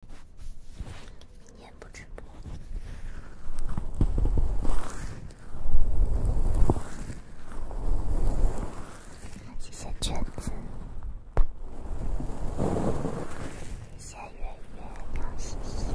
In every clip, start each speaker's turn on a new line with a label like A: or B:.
A: 明天不直播。谢谢娟子，谢谢月月，杨嘻嘻。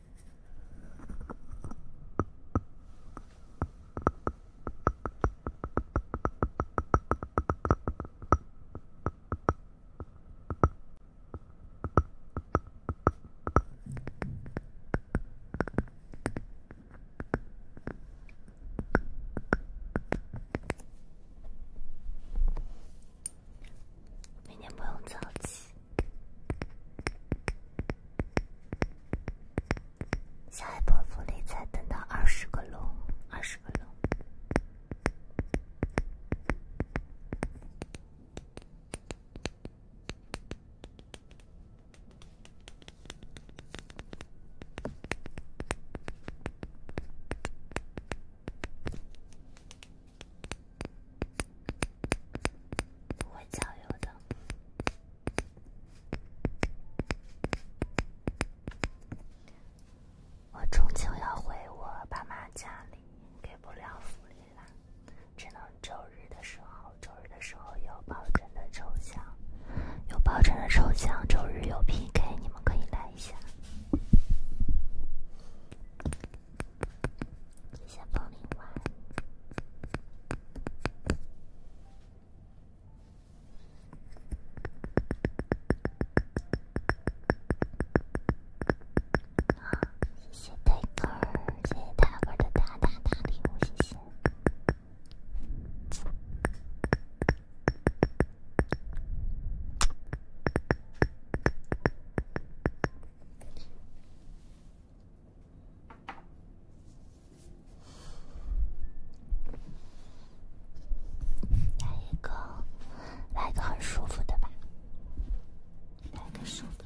A: 明天不用早起。下一波福利才等到二十个龙，二十个龙我终究要回我爸妈家里，给不了福利了，只能周日的时候，周日的时候有保证的抽奖，有保证的抽奖，周日有 PK，你们可以来一下。谢谢暴灵丸。啊，谢谢大哥儿，谢谢大哥儿的大大大礼物，谢谢。来一个，来一个很舒服的吧，来个舒服的。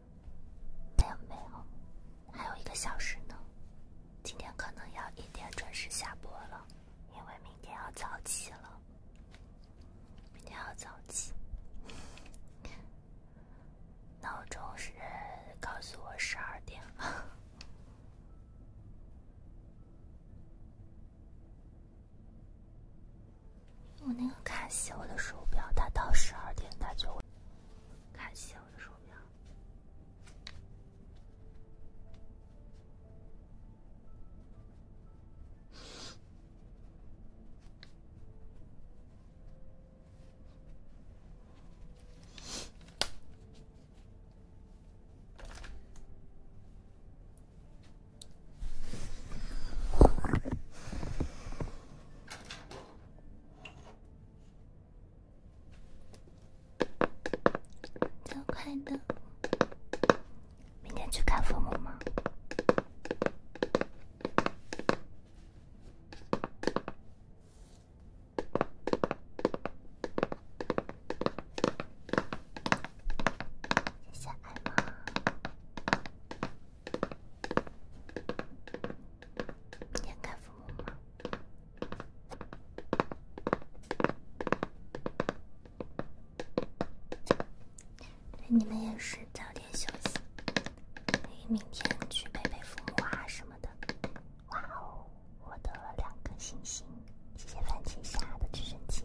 A: 没有没有，还有一个小时呢。今天可能要一点准时下播了，因为明天要早起了。明天要早起，闹钟是告诉我十二点了。我那个卡西欧的手表，它到十二点它就会。看，一我的手表。早快乐，明天去看父母嘛。谢谢爱猫。父母吗？你们也是早点休息，可以明天去陪陪父母啊什么的。哇哦，获得了两颗星星，谢谢番茄侠的直升机。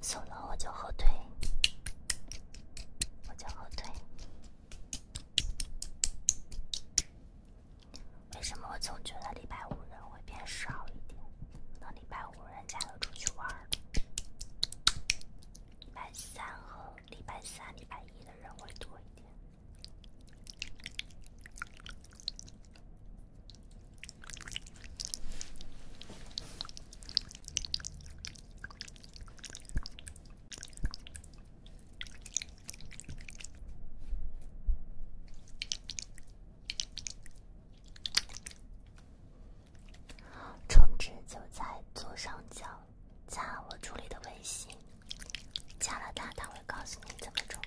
A: 锁了我就后退，我就后退。为什么我总觉得礼拜五人会变少一点？可能礼拜五人家都出去玩儿了。礼拜三和礼拜三、礼拜一的人会多一点。充值就在左上角，加我助理的微信，加了他，他会告诉你怎么充，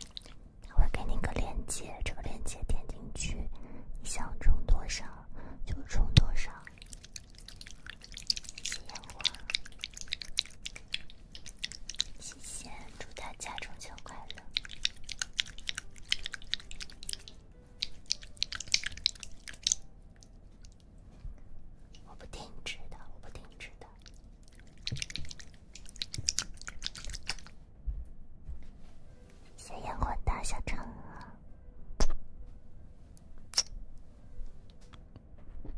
A: 他会给你个链接，这个链接点进去，你想充多少就充多少。谢烟火，谢谢，祝大家中秋快乐！我不停止的，我不停止的。谢烟火的小橙。如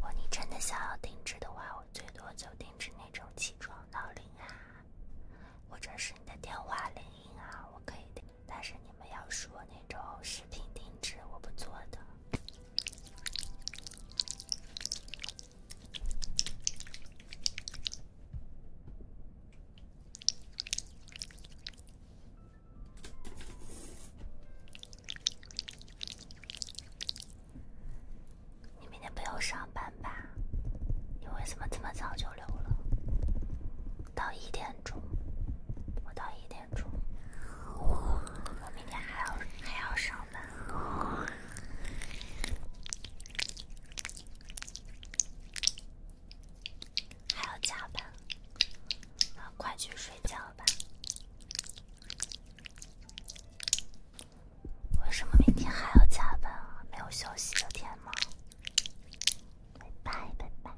A: 果你真的想要定制的话，我最多就定制那种起床闹铃啊，或者是你的电话铃音啊，我可以但是你们要说那种饰品定制，我不做的。你明天不用上班吧？你为什么这么早就溜了？到一点钟，我到一点。我明天还要还要上班，还要加班。快去睡觉吧！为什么明天还要加班啊？没有休息的天吗？拜拜，拜拜。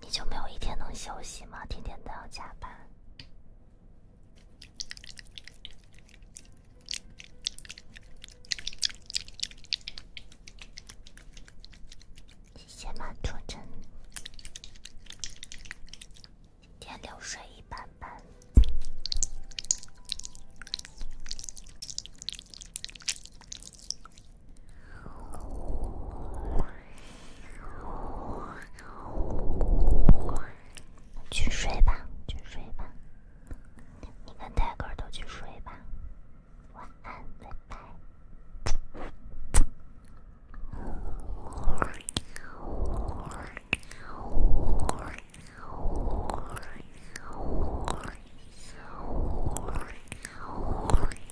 A: 你就没有一天能休息吗？天天都要加班。谢谢马图真，今天流水一般般。去睡吧，去睡吧，你跟泰哥都去睡吧，晚安，拜拜。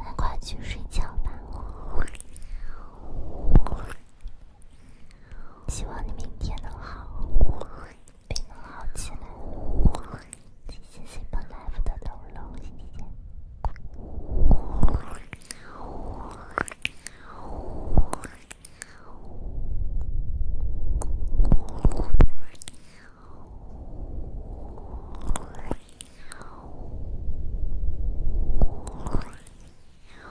A: 那快去睡觉吧，希望你明天能好。病能好起来。谢谢 Super Life 的龙龙，谢谢。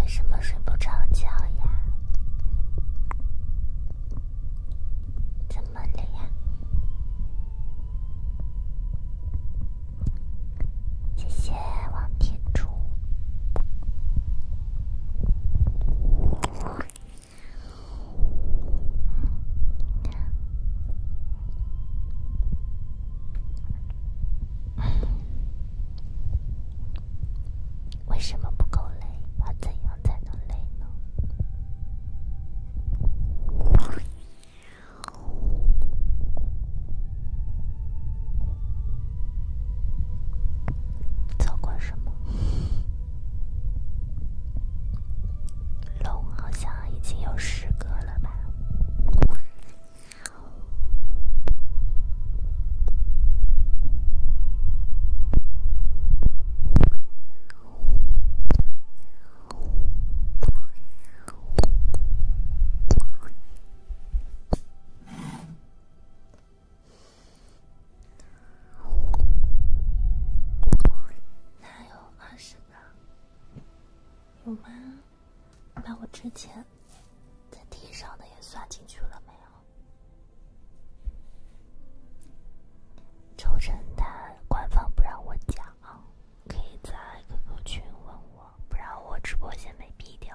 A: 为什么睡不着觉呀？怎么？门脸，谢谢王铁柱。为什么不够累？要怎样？才能累呢。造过什么？龙好像已经有十个了吧。还有二十八，有吗？把我之前在地上的也算进去了没有？抽成他官方不让我讲，可以在 QQ 群问我，不然我直播间被闭掉。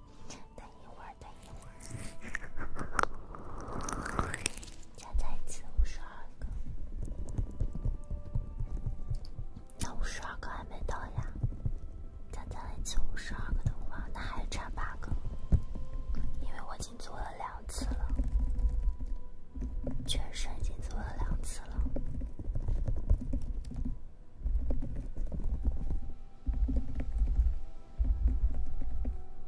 A: 等一会儿，等一会儿。加在一起五十二个，那五十二个还没到呀。加在一起五十二个的话，那还差八个。因为我已经做了两次了，全身已经做了两次了。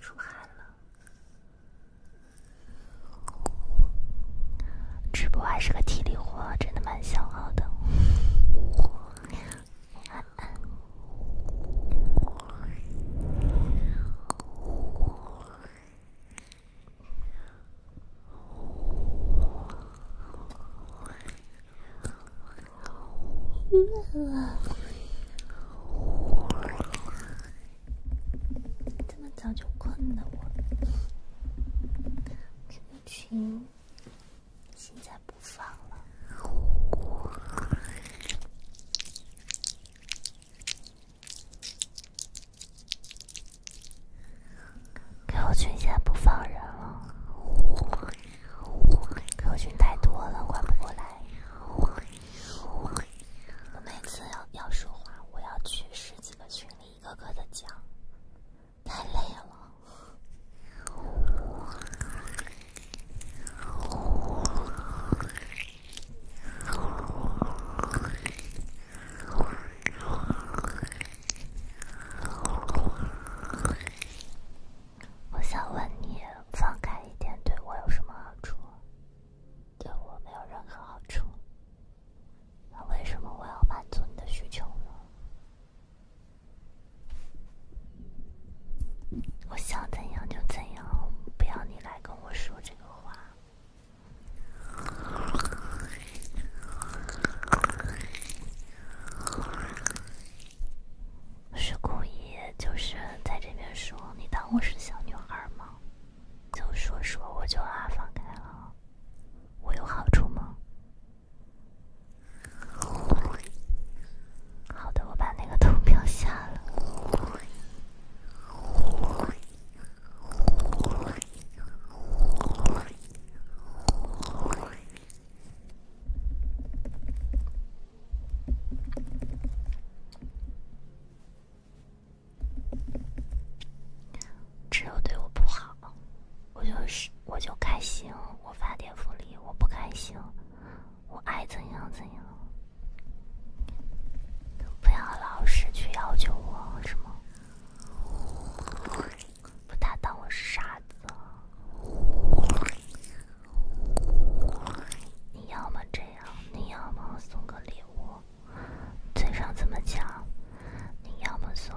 A: 出汗了，直播还是个体力活，真的蛮消耗的。这么早就困了，我。这个群现在不放了。给我群先不放人了，我群太多了，管不过来。我每次要要说话，我要去十几个群里一个个的讲，太累了。我想问你，放开一点对我有什么好处？对我没有任何好处。那为什么我要满足你的需求呢？我想怎样就怎样，不要你来跟我说这个话。是故意，就是在这边说，你当我是小女孩吗？就说说，我就啊放开了，我有好处吗？好的，我把那个投票下了。只有对我不好，我就是我就开心，我发点福利，我不开心，我爱怎样怎样。不要老是去要求我，是吗？不，大当我是傻子。你要么这样，你要么送个礼物。嘴上这么讲？你要么送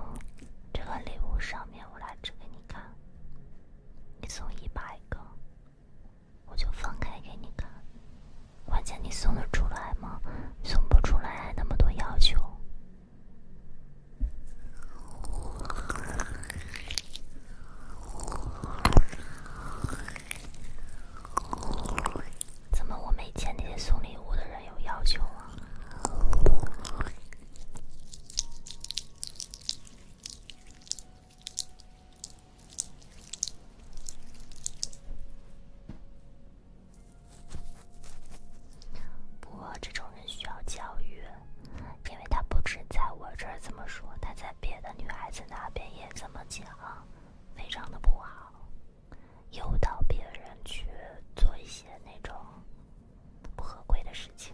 A: 这个礼物，上面我来指给你看。你送一百个，我就放开给你看。关键你送得出来吗？送不出来还那么多要求？怎么我没见那些送礼物的人有要求啊？不过这种人需要教育，因为他不止在我这儿这么说，他在别的女孩子那边也这么讲，非常的不好，诱导别人去做一些那种不合规的事情。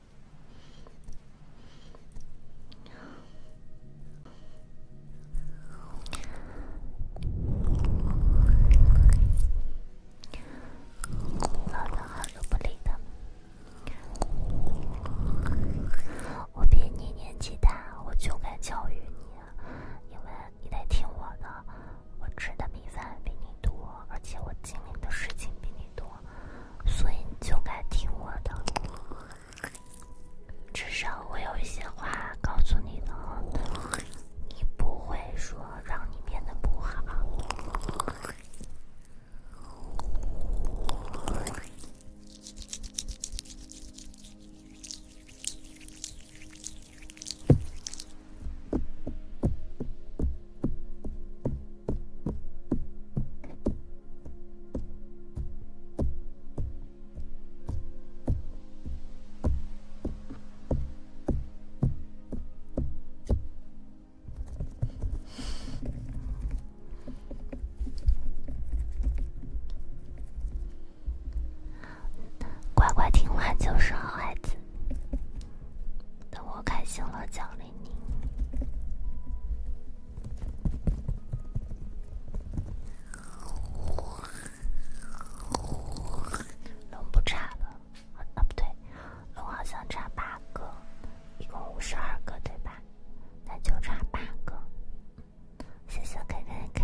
A: 老远我就不理他。我比你年纪大，我就该教育你，因为你得听我的。我吃的米饭比你多，而且我经历的事情比你多。所以你就该听我的，至少我有一些话告诉你了，你不会说让你变得不好。乖乖听话就是好孩子，等我开心了奖励。龙不差了，啊不对，龙好像差八个，一共五十二个对吧？那就差八个。谢谢 K K K。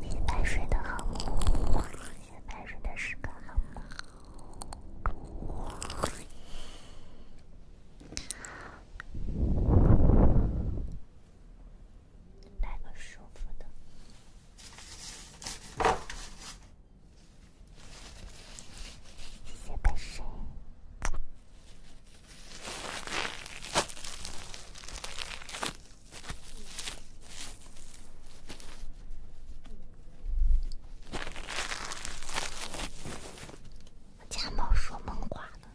A: 你白睡得好吗？你白睡的时刻好吗？带个舒服的。谢谢白谁。我家猫说梦话了。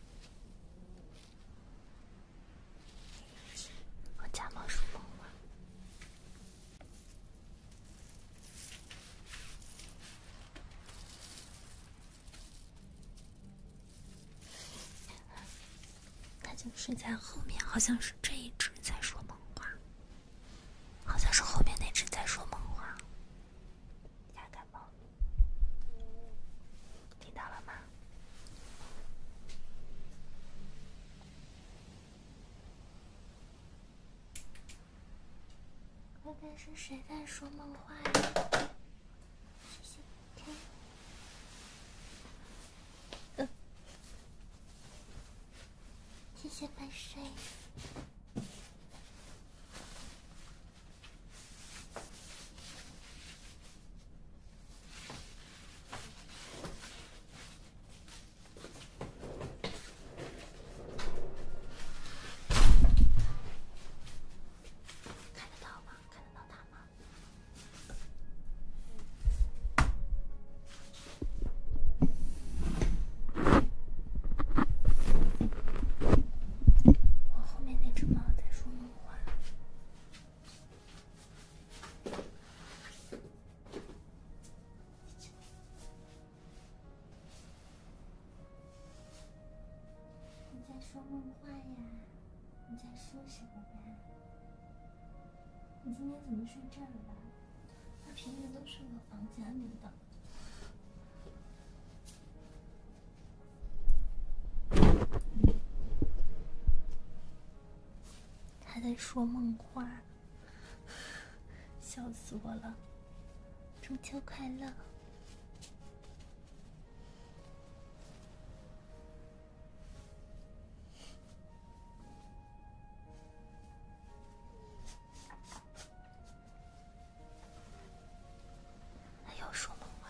A: 我家猫说梦话。那就是在后面，好像是这一只在说梦话，好像是后面那只在说梦话，猫，听到了吗？刚刚是谁在说梦话呀？谢谢，嗯，谢谢白睡。看得到吗？看得到它吗？我后面那只猫在说梦话。你在说梦话呀？你在说什么呀？你今天怎么睡这儿了？他平时都是我房间里的。他在说梦话，笑死我了。中秋快乐！还要说梦话？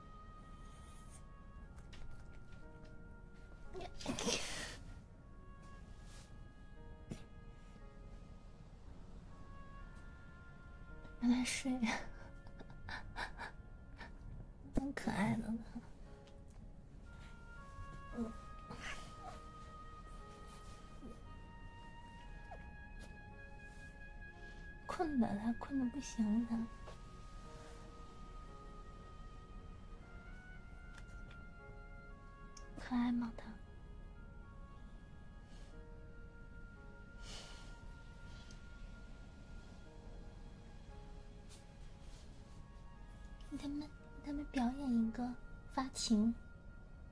A: 让他睡，真可爱的呢。嗯。困的他，困的不行他。可爱吗他？给他们，给他们表演一个发情。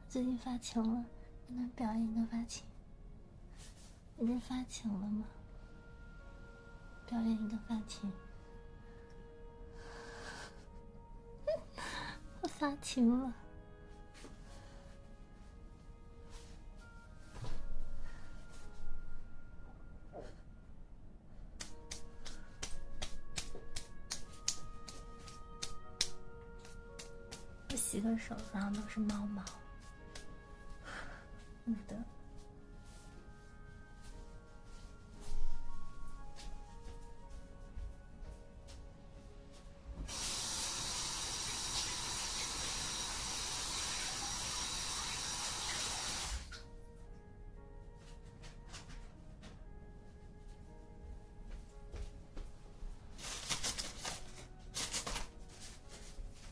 A: 最近发情了，给他们表演一个发情。你不是发情了吗？表演一个发情。我发情了。我洗个手，然后都是猫毛。有的。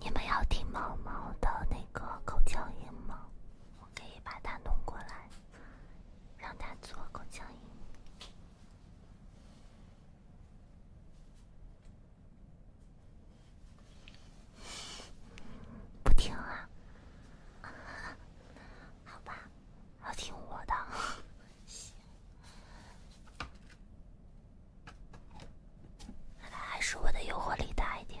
A: 你们要听猫猫的那个口腔音吗？我可以把它弄过来，让它做口腔音。不听啊！好吧，要听我的。看来还是我的诱惑力大一点。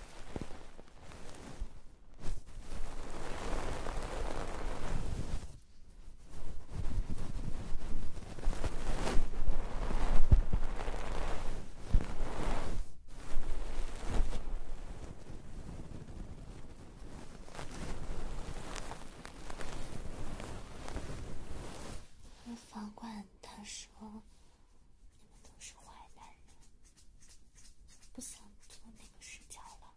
A: 房管他说。你们都是坏男人，不想做那个视角了。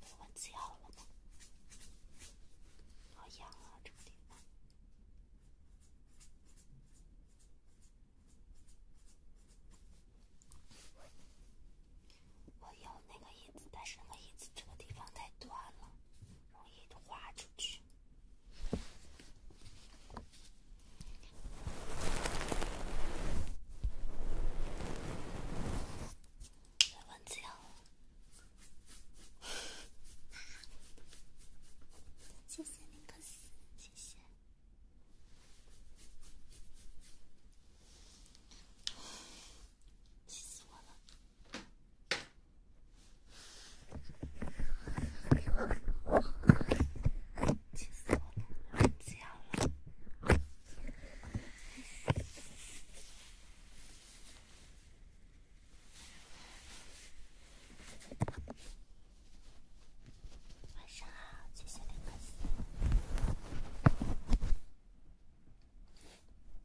A: 我换姿势好了吗？好痒啊，这个地方。我有那个椅子，但是那个椅子这个地方太短了，容易滑出去。文字呀！谢谢尼克斯，谢谢。气死我了！气死我了！睡觉了。晚上好，亲爱的粉丝。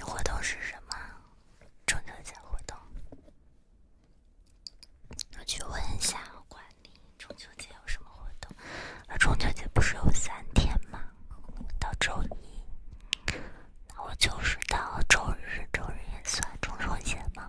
A: 活动是什么？中秋节活动，我去问一下管理，中秋节有什么活动？那中秋节不是有三天吗？到周一。我就是到周日，周日也算中秋节吗？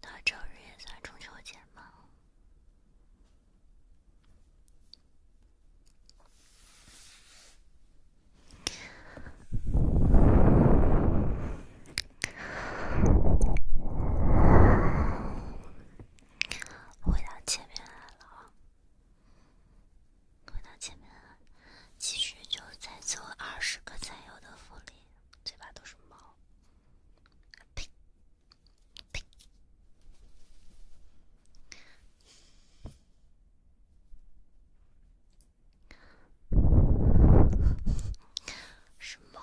A: 大正日也算中秋节吗？回到前面来了啊！回到前面，其实就在做二十个才有的福利。嘴巴都是猫，呸呸，是猫。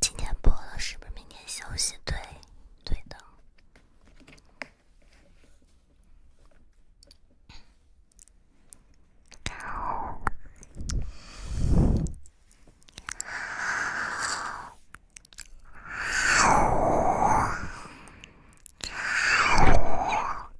A: 今天播了，是不是明天休息？对，对的。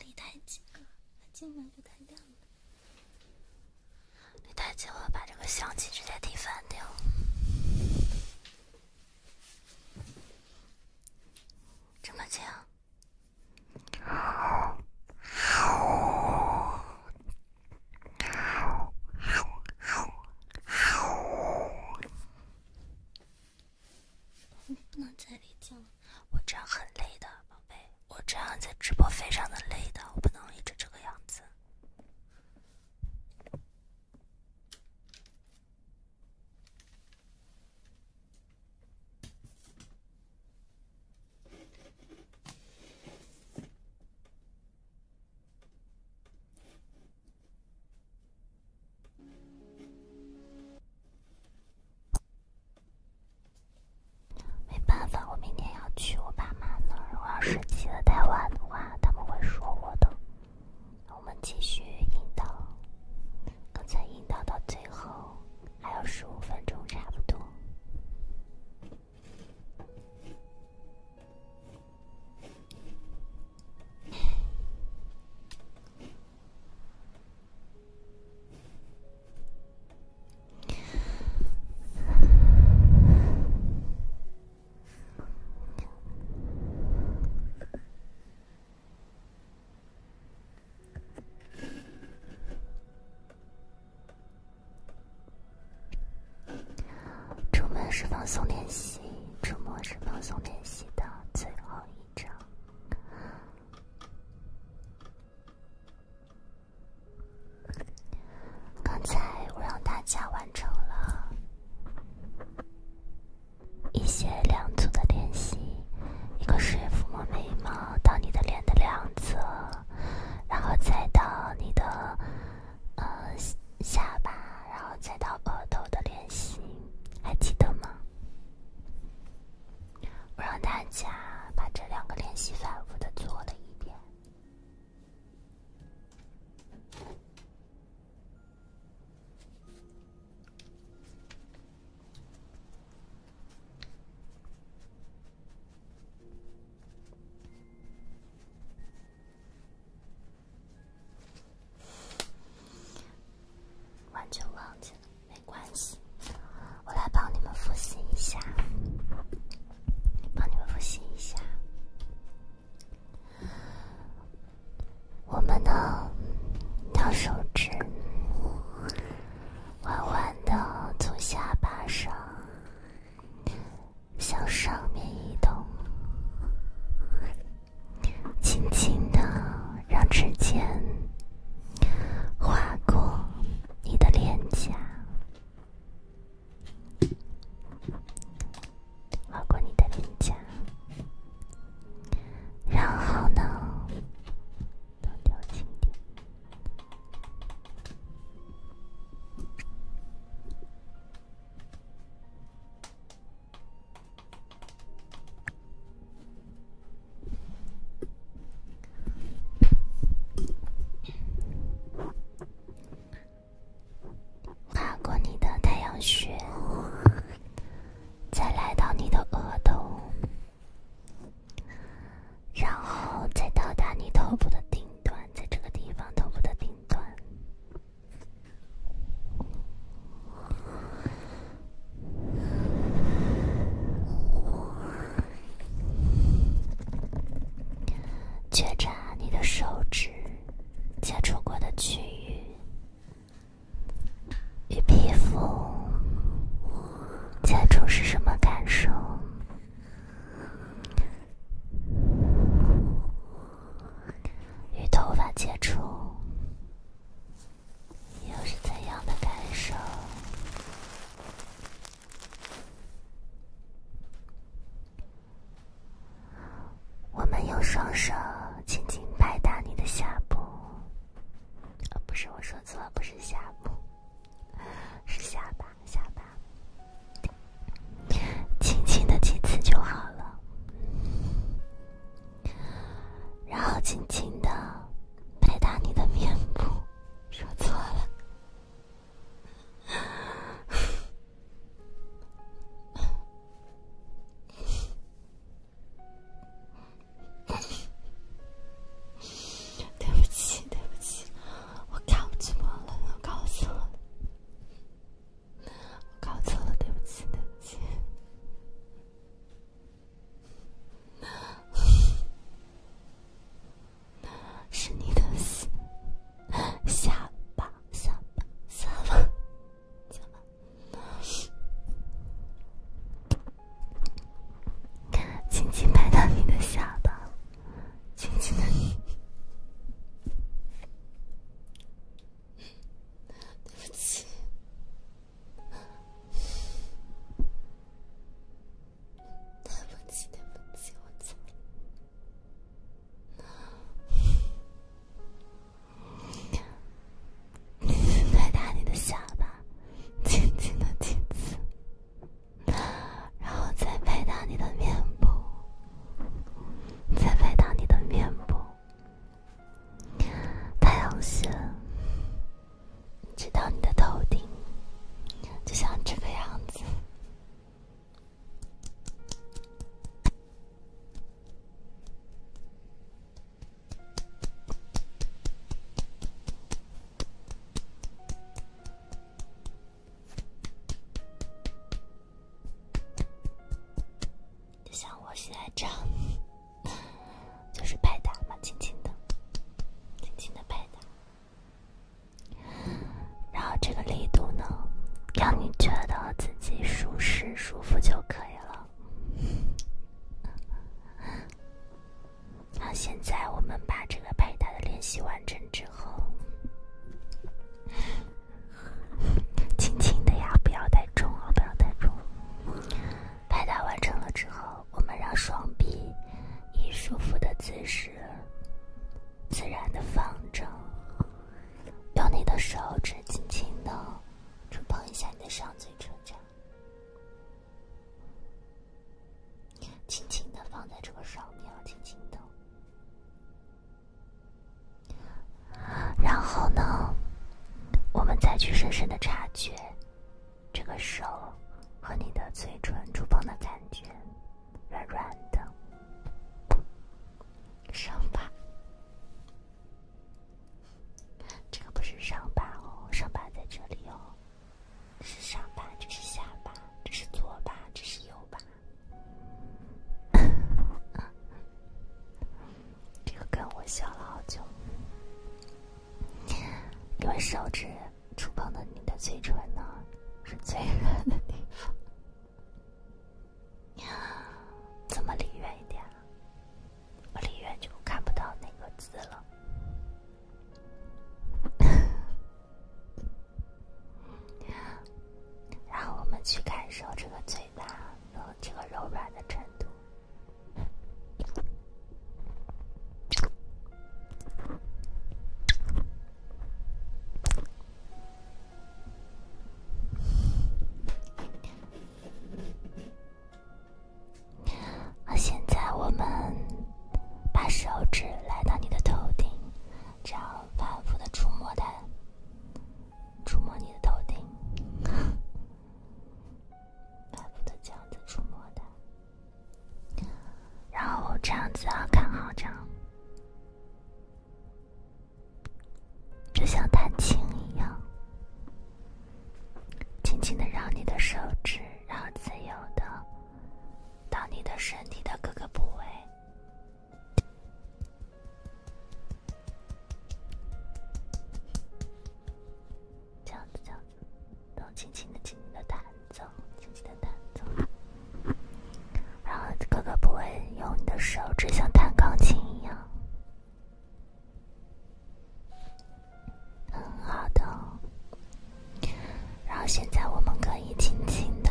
A: 离太近了，它进来就太亮了。离太近，了，把这个相机直接踢翻掉。这么近？不能再累了，我这样很累的，宝贝，我这样在直播非常的累的，我不能一直这个样子。没办法，我明天要去我爸妈那儿。我要是起得太晚的话，他们会说我的。我们继续引导，刚才引导到最后还有十五分钟，差不多。出门是放松练习，出没是放松练习的最后一章。刚才我让大家完成了一些两组的练习，一个是抚摸眉毛到你的脸的两侧，然后再到你的呃下巴，然后再到额头的练习，还记得吗？我让大家把这两个练习反复的做了一遍。完全忘记了，没关系，我来帮你们复习一下，帮你们复习一下。我们呢，拿手指，缓缓的从下巴上向上面移动。轻轻的，让指尖划过你的脸颊，划过你的脸颊，然后呢，都调轻跨过你的太阳穴，再来到你的额头，然后再到达你头部的顶端，在这个地方，头部的顶端。觉察你的手指接触过的区域与皮肤接触是什么感受？与头发接触。又是怎样的感受？我们用双手轻轻拍打你的下部，啊，不是我说错了，不是下部，是下巴，下巴，轻轻的几次就好了。然后轻轻的拍打你的面部，说错了，对不起，对不起，我搞错了，我搞错了，我搞错了，对不起，对不起。是你的下巴，下巴，下巴，看，轻轻拍到你的下巴，轻轻的。对不起，对不起，我错了。再打你的下巴，轻轻的亲亲，然后再拍打你的面部，再拍打你的面部，太阳穴。直到你的头顶，就像这个样子，就像我现在这样。就是拍打嘛，轻轻的，轻轻的拍打。然后这个力度呢，让你觉得自己舒适舒服就可以了。那现在我们把这个拍打的练习完成之后，轻轻的呀，不要太重啊，不要太重。拍打完成了之后，我们让双臂以舒服的姿势自然的放着，用你的手指轻轻的触碰一下你的上嘴唇，轻轻的放在这个上面，轻轻的。然后呢，我们再去深深的察觉。这个手和你的嘴唇触碰的感觉，软软的。上巴，这个不是上巴哦，上巴在这里哦，是上巴，这是下巴，这是左巴，这是右巴。这个跟我笑了好久。因为手指触碰到你的嘴唇呢，是最热的地方。怎么离远一点？我离远就看不到那个字了。然后我们去感受这个嘴巴的这个柔软的程度。现在我们把手指来到你的头顶，这样反复的触摸它，触摸你的头顶，反复的这样子触摸它。然后这样子啊，看好这样，就像弹琴一样，轻轻的让你的手指，然后自由的到你的身体的各个部位，这样子，这样。都轻轻的、轻轻的弹奏，轻轻的弹奏。然后哥哥不会用你的手指像弹钢琴一样，很好的。然后现在我们可以轻轻的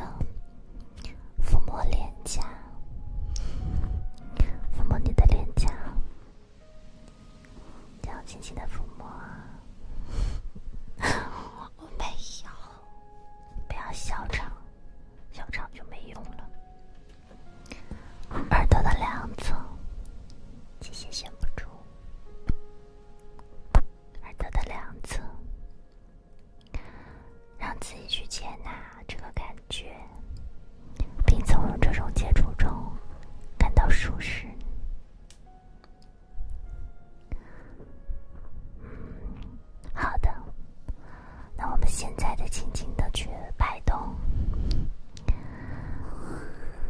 A: 抚摸脸颊，抚摸你的脸颊。这样轻轻的抚摸，我没有，不要小吵，小吵就没用了。耳朵的两侧，这些闲不住。耳朵的两侧，让自己去接纳这个感觉，并从这种接触中感到舒适。好的，那我们现在的轻轻的去摆动，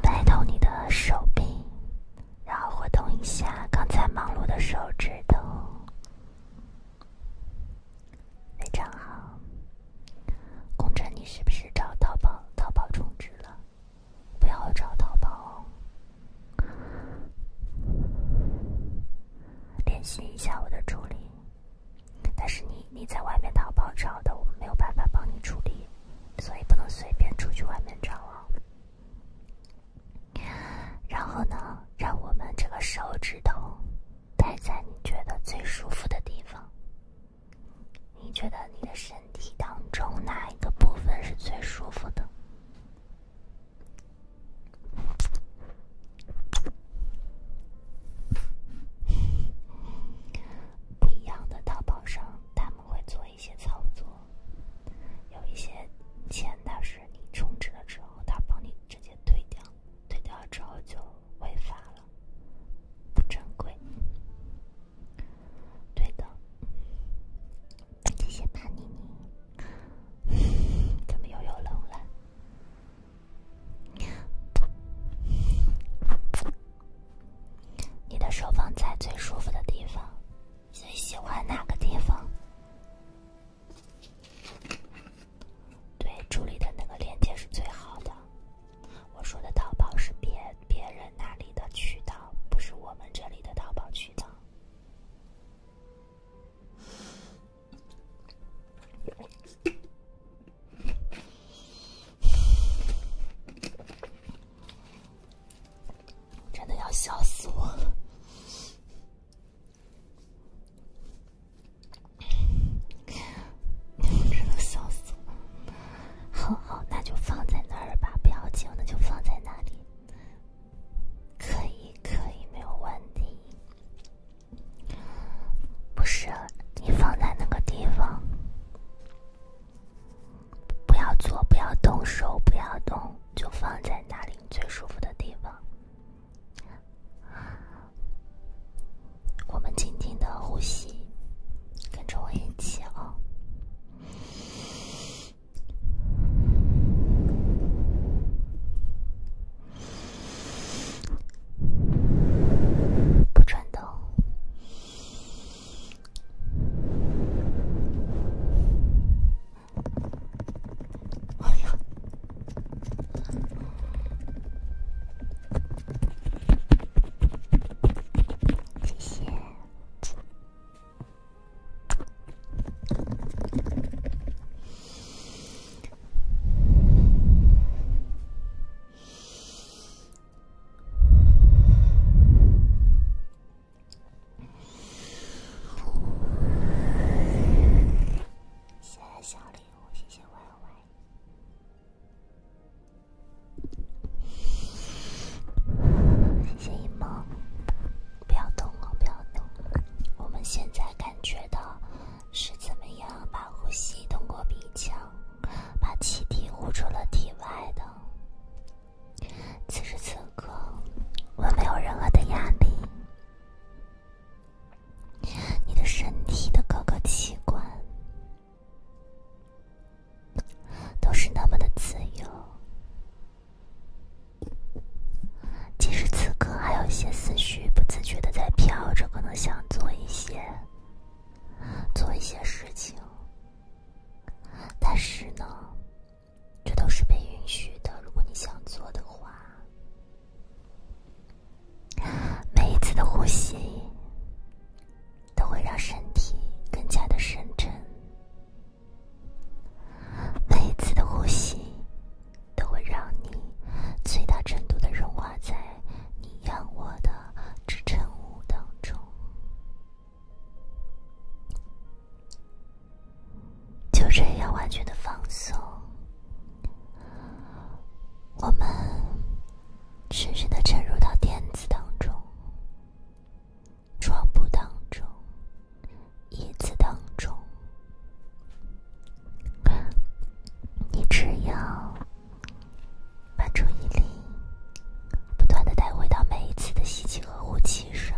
A: 摆动你的手臂，然后活动一下刚才忙碌的手指头，非常好。宫城，你是不是找淘宝淘宝充值了？不要找淘宝，联系一下我的助理。但是你你在外面淘宝找的，我们没有办法帮你处理，所以不能随便出去外面找哦。然后呢，让我们这个手指头待在你觉得最舒服的地方。你觉得你的身体当中哪一个部分是最舒服的？不一样的淘宝上，他们会做一些操作，有一些钱，但是你充值了之后，他帮你直接退掉，退掉之后就违法了，不正规。对的，谢谢吧，妮妮。怎么又有冷了？你的手放在最舒服的地方，最喜欢哪个地方？对，助理的那个链接是最好的。我说的淘宝是别别人那里的渠道，不是我们这里的淘宝渠道。真的要笑死我了！真的笑死我了！好好，那就放在那儿吧，不要紧，那就放在那里。可以，可以，没有问题。不是你放在那个地方，不要坐，不要动手，不要动，就放在那里最舒服的地方。我们静静的呼吸，跟着我一起哦。不穿透。哎呀！谢谢。谢谢小礼物，谢谢 Y Y。谢谢一梦，不要动哦，不要动。我们现在感觉到是怎么样把呼吸通过鼻腔，把气体呼出了体外的。此时此刻，我没有任何的压力。你的身体的各个器官。都是那么的自由。即使此刻还有一些思绪不自觉的在飘着，可能想做一些、做一些事情，但是呢，这都是被允许的。如果你想做的话，每一次的呼吸。都会让身体更加的深沉。每一次的呼吸，都会让你最大程度的融化在你仰卧的支撑物当中。就这样完全的放松，我们深深的沉入到垫子当中。床铺当中，椅子当中，你只要把注意力不断的带回到每一次的吸气和呼气上，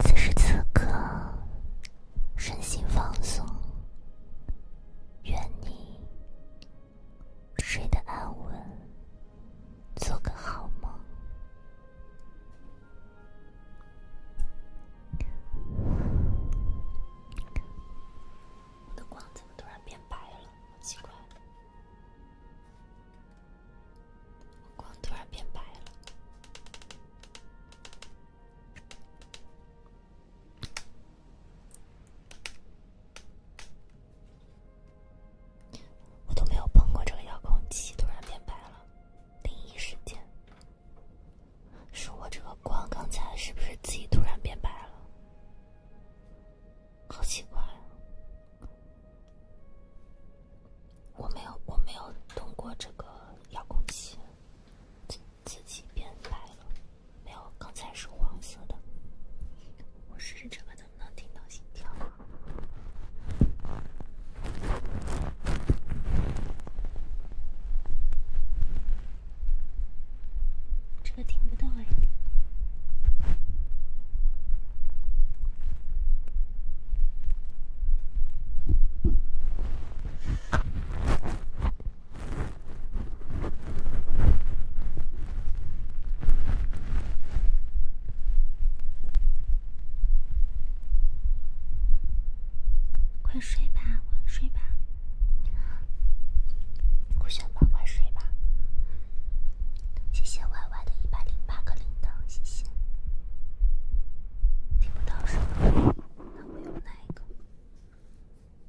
A: 此时此刻，身心放松，愿你。睡得安稳，做个好梦。我的光怎么突然变白了？好奇怪，我光突然变白了。我都没有碰过这个遥控器，突然变白了。灵异事件，是我这个光刚才是不是自己突然变白了？好奇怪啊！我没有，我没有通过这个遥控器自自己变白了。没有，刚才是黄色的。我试试这个能不能听到心跳。这个听不到哎。快睡吧，快睡吧，顾璇吧，快睡吧。谢谢 Y Y 的一百零八个铃铛，谢谢。听不到声，那我用哪一个？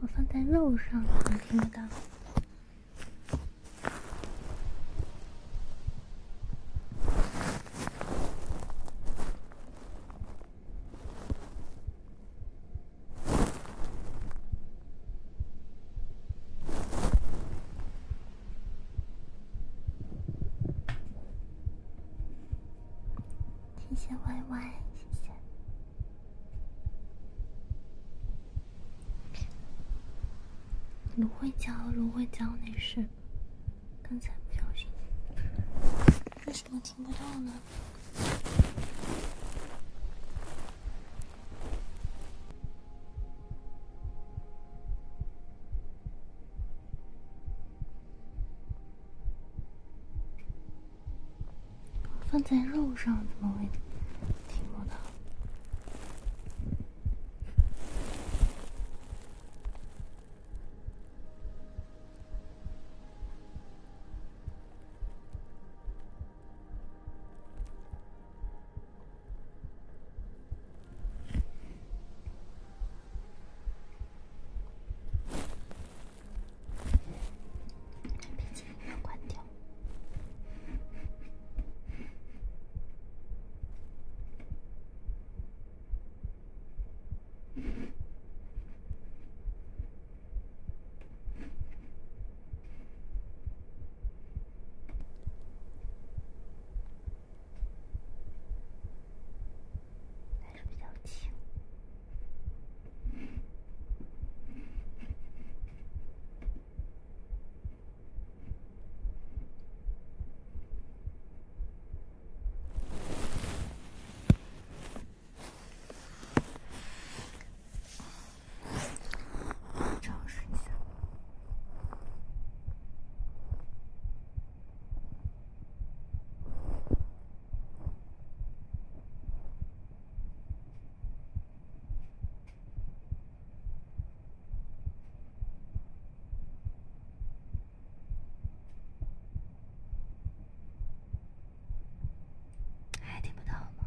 A: 我放在肉上，好听不到。谢谢 YY，谢谢。芦荟胶，芦荟胶，女是，刚才不小心，为什么听不到呢？放在肉上怎么会听不到？赶紧关掉。还是比较轻。尝试一下。还听不到吗？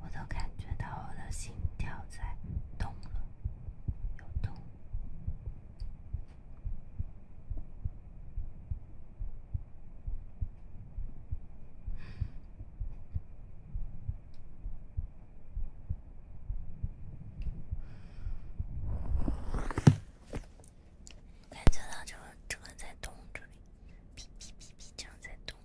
A: 我都感觉到我的心跳在动了，又动。我感觉到就正在动这里，哔哔哔哔这样在动。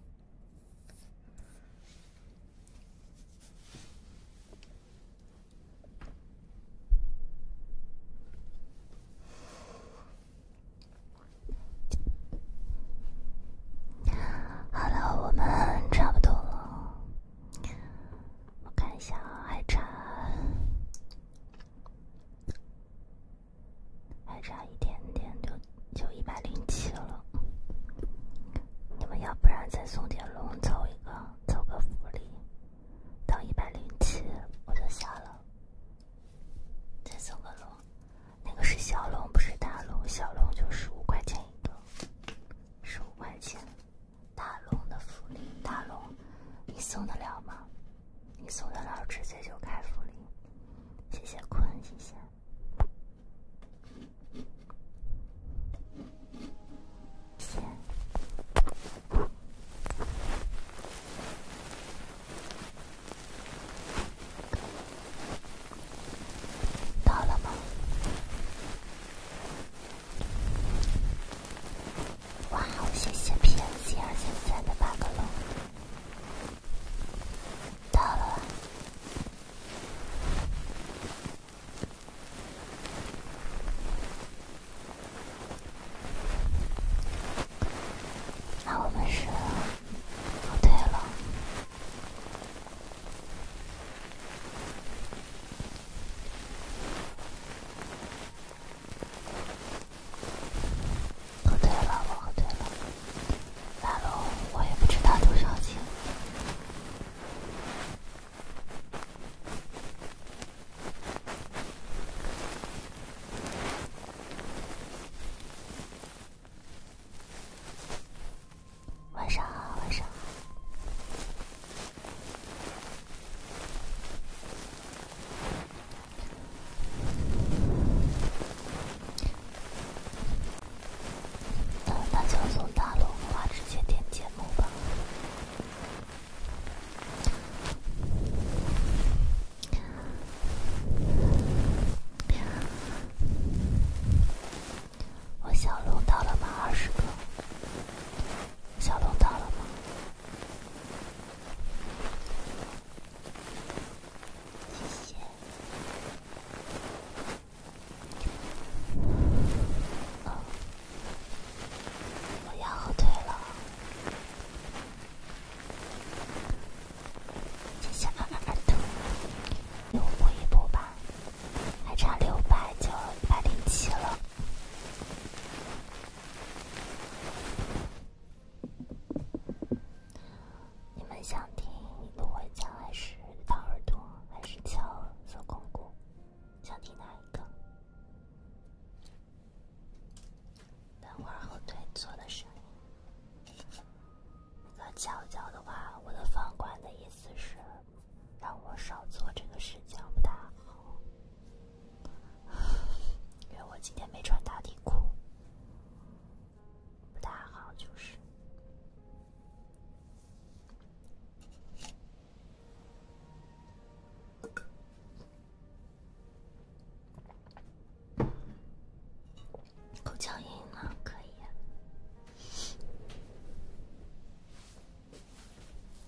A: 好了，我们差不多了，我看一下还差。还差一点点就就一百零七了，你们要不然再送点龙，走一个，走个福利，到一百零七我就下了，再送个龙，那个是小龙，不是大龙，小龙就十五块钱一个，十五块钱。大龙的福利，大龙，你送得了吗？你送得了直接就开福利，谢谢坤，谢谢，到了吗？哇哦，谢谢 PMC 二三三的八个龙，到了吗？那我们输了，都退了。喝醉了，我喝醉了。大龙，我也不知道多少斤。晚上好，晚上好。嗯，他叫送大龙的话，直接点节目吧。我小龙到了吗？二十个。小龙到了吗？谢谢。嗯，我要后退了。谢谢二二二兔，给我补一波吧，还差六百就一百零七了。你们想听不会叫还是掏耳朵还是敲锁孔骨？想听哪一个？等会儿后腿做的声音。那敲脚的话，我的房管的意思是让我少做这个事情，不大好。因为我今天没穿打底裤，不大好，就是。口音呢？可以。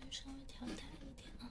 A: 我稍微调大一点啊。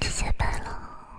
A: 谢谢白了。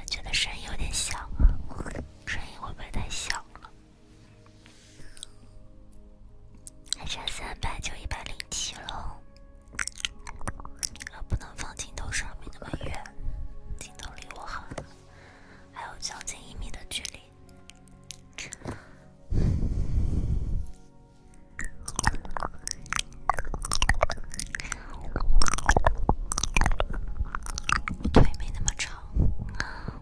A: 觉得声音有点小啊，声音会不会太小了？还差三百就一百零七了。啊，不能放镜头上面那么远，镜头离我很，还有小近一米的距离。我腿没那么长啊。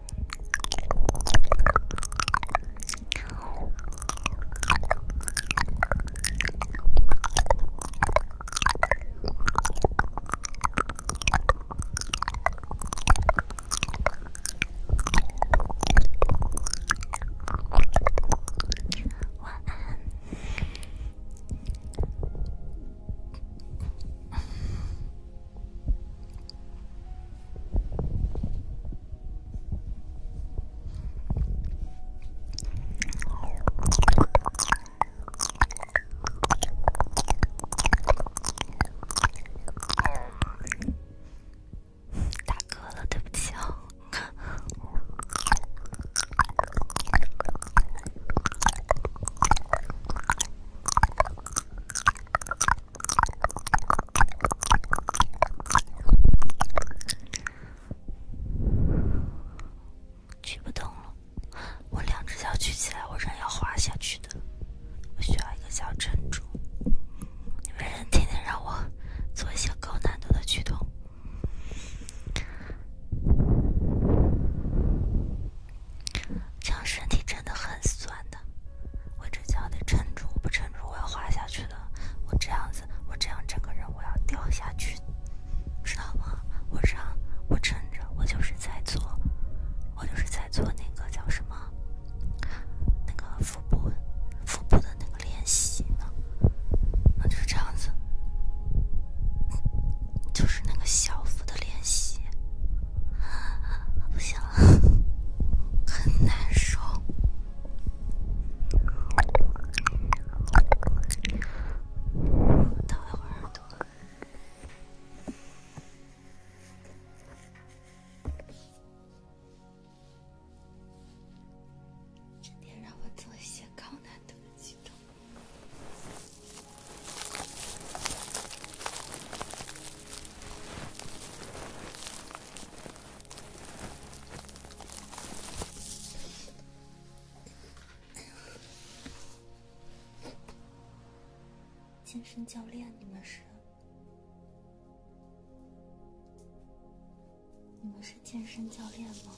A: 晚安。大哥了，对不起啊！举不动了，我两只脚举起来，我人要滑下去的。我需要一个小珍珠。你们人天天让我做一些高难度的举动。这样身体真的很酸的，我这脚得撑住，我不撑住我要滑下去了。我这样子，我这样整个人我要掉下去，知道吗？我这样，我撑着，我就是在做，我就是在做那个叫什么，那个腹部，腹部的那个练习呢。那就是这样子。就是那个小腹的练习，不行了，很难受。等一会儿多喝。天让我做一些高难度的举动。健身教练？你们是？你们是健身教练吗？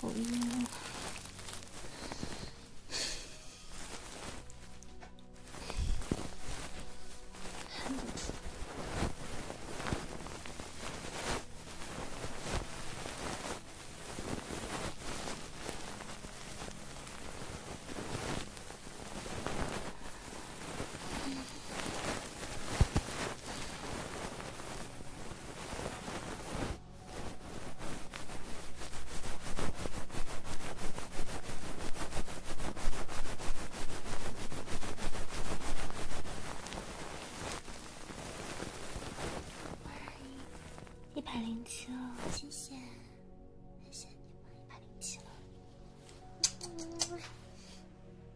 A: 讨厌了。一百零七了，谢谢，谢谢你，一百零七了。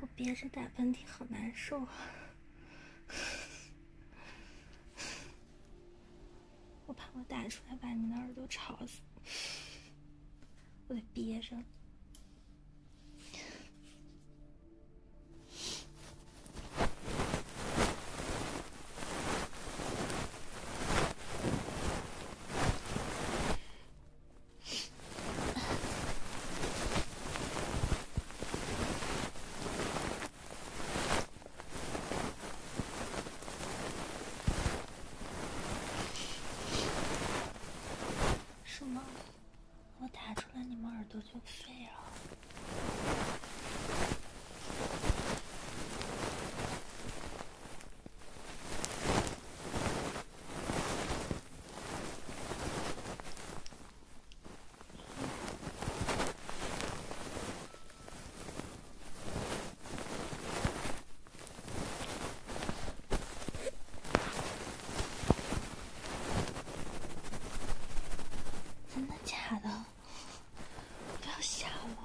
A: 我憋着打喷嚏，好难受啊！我怕我打出来把你的耳朵吵死，我得憋着。什么？我打出来你们耳朵就废了。真的假的？不要吓我！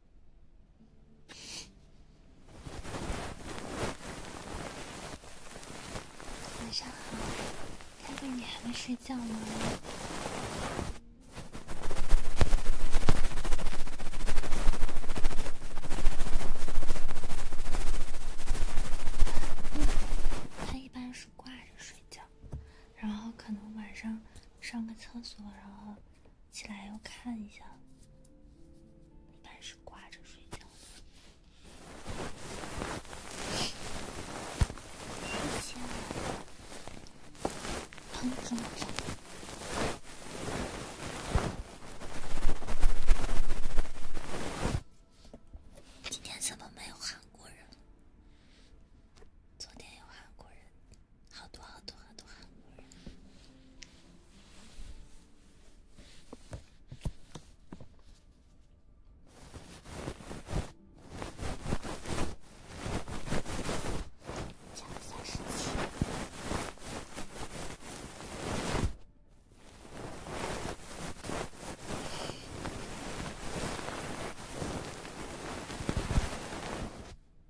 A: 晚上好，大哥，你还没睡觉吗？他一般是挂着睡觉，然后可能晚上上个厕所，然后。起来要看一下，一般是挂着睡觉的。睡今天怎么没有韩国人？昨天有韩国人。好多好多好多好多，人。三十七。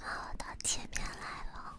A: 好，的，前面来了。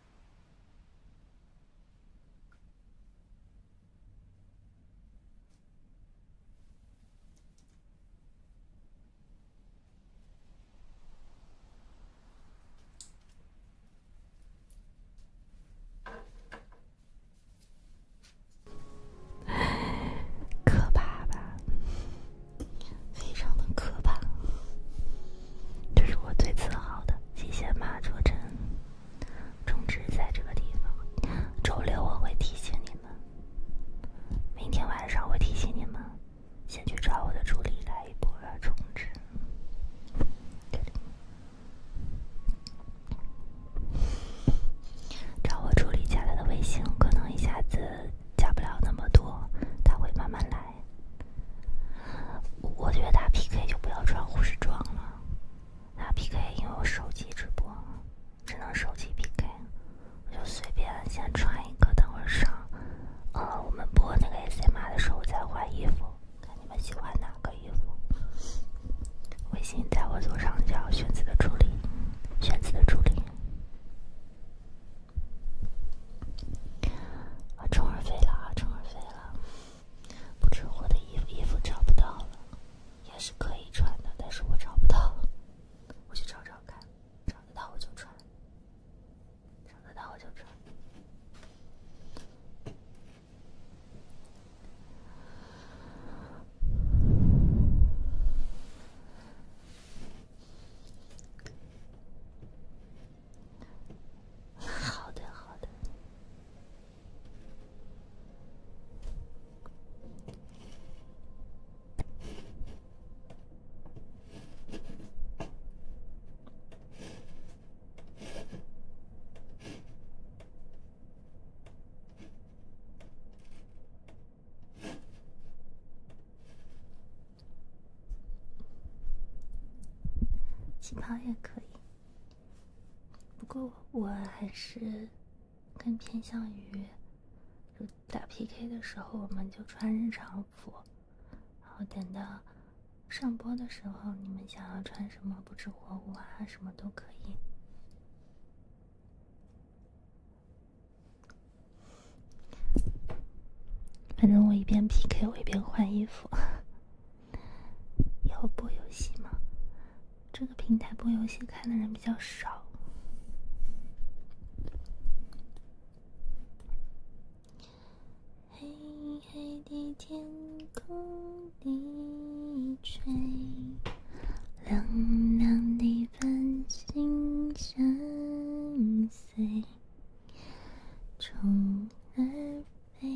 A: 可怕吧？非常的可怕。这是我最自豪的机械马卓真。充值在这个地方。周六我会提醒你们，明天晚上会提醒你们，先去找我的助理来一波充值。找我助理加他的微信，可能一下子加不了那么多，他会慢慢来。我觉得打 PK 就不要穿护士装了。打 PK，因为我手机直播，只能手机 PK。我就随便先穿一个，等会上。呃，我们播那个 S M 马的时候再换衣服，看你们喜欢哪个衣服。微信在我左上角，选择的助理，选择的助理。啊，虫儿飞了，啊，虫儿飞了。不知我的衣服衣服找不到了，也是可以穿的，但是我找不到，我去找找看，找得到我就穿，找得到我就穿。好的，好的。气泡也可以。不过我还是更偏向于，就打 P K 的时候我们就穿日常服，然后等到上播的时候，你们想要穿什么不知火舞啊什么都可以。反正我一边 P K 我一边换衣服。以后播游戏吗？这个平台播游戏看的人比较少。黑黑的天空低垂，亮亮的繁星相随，虫儿飞。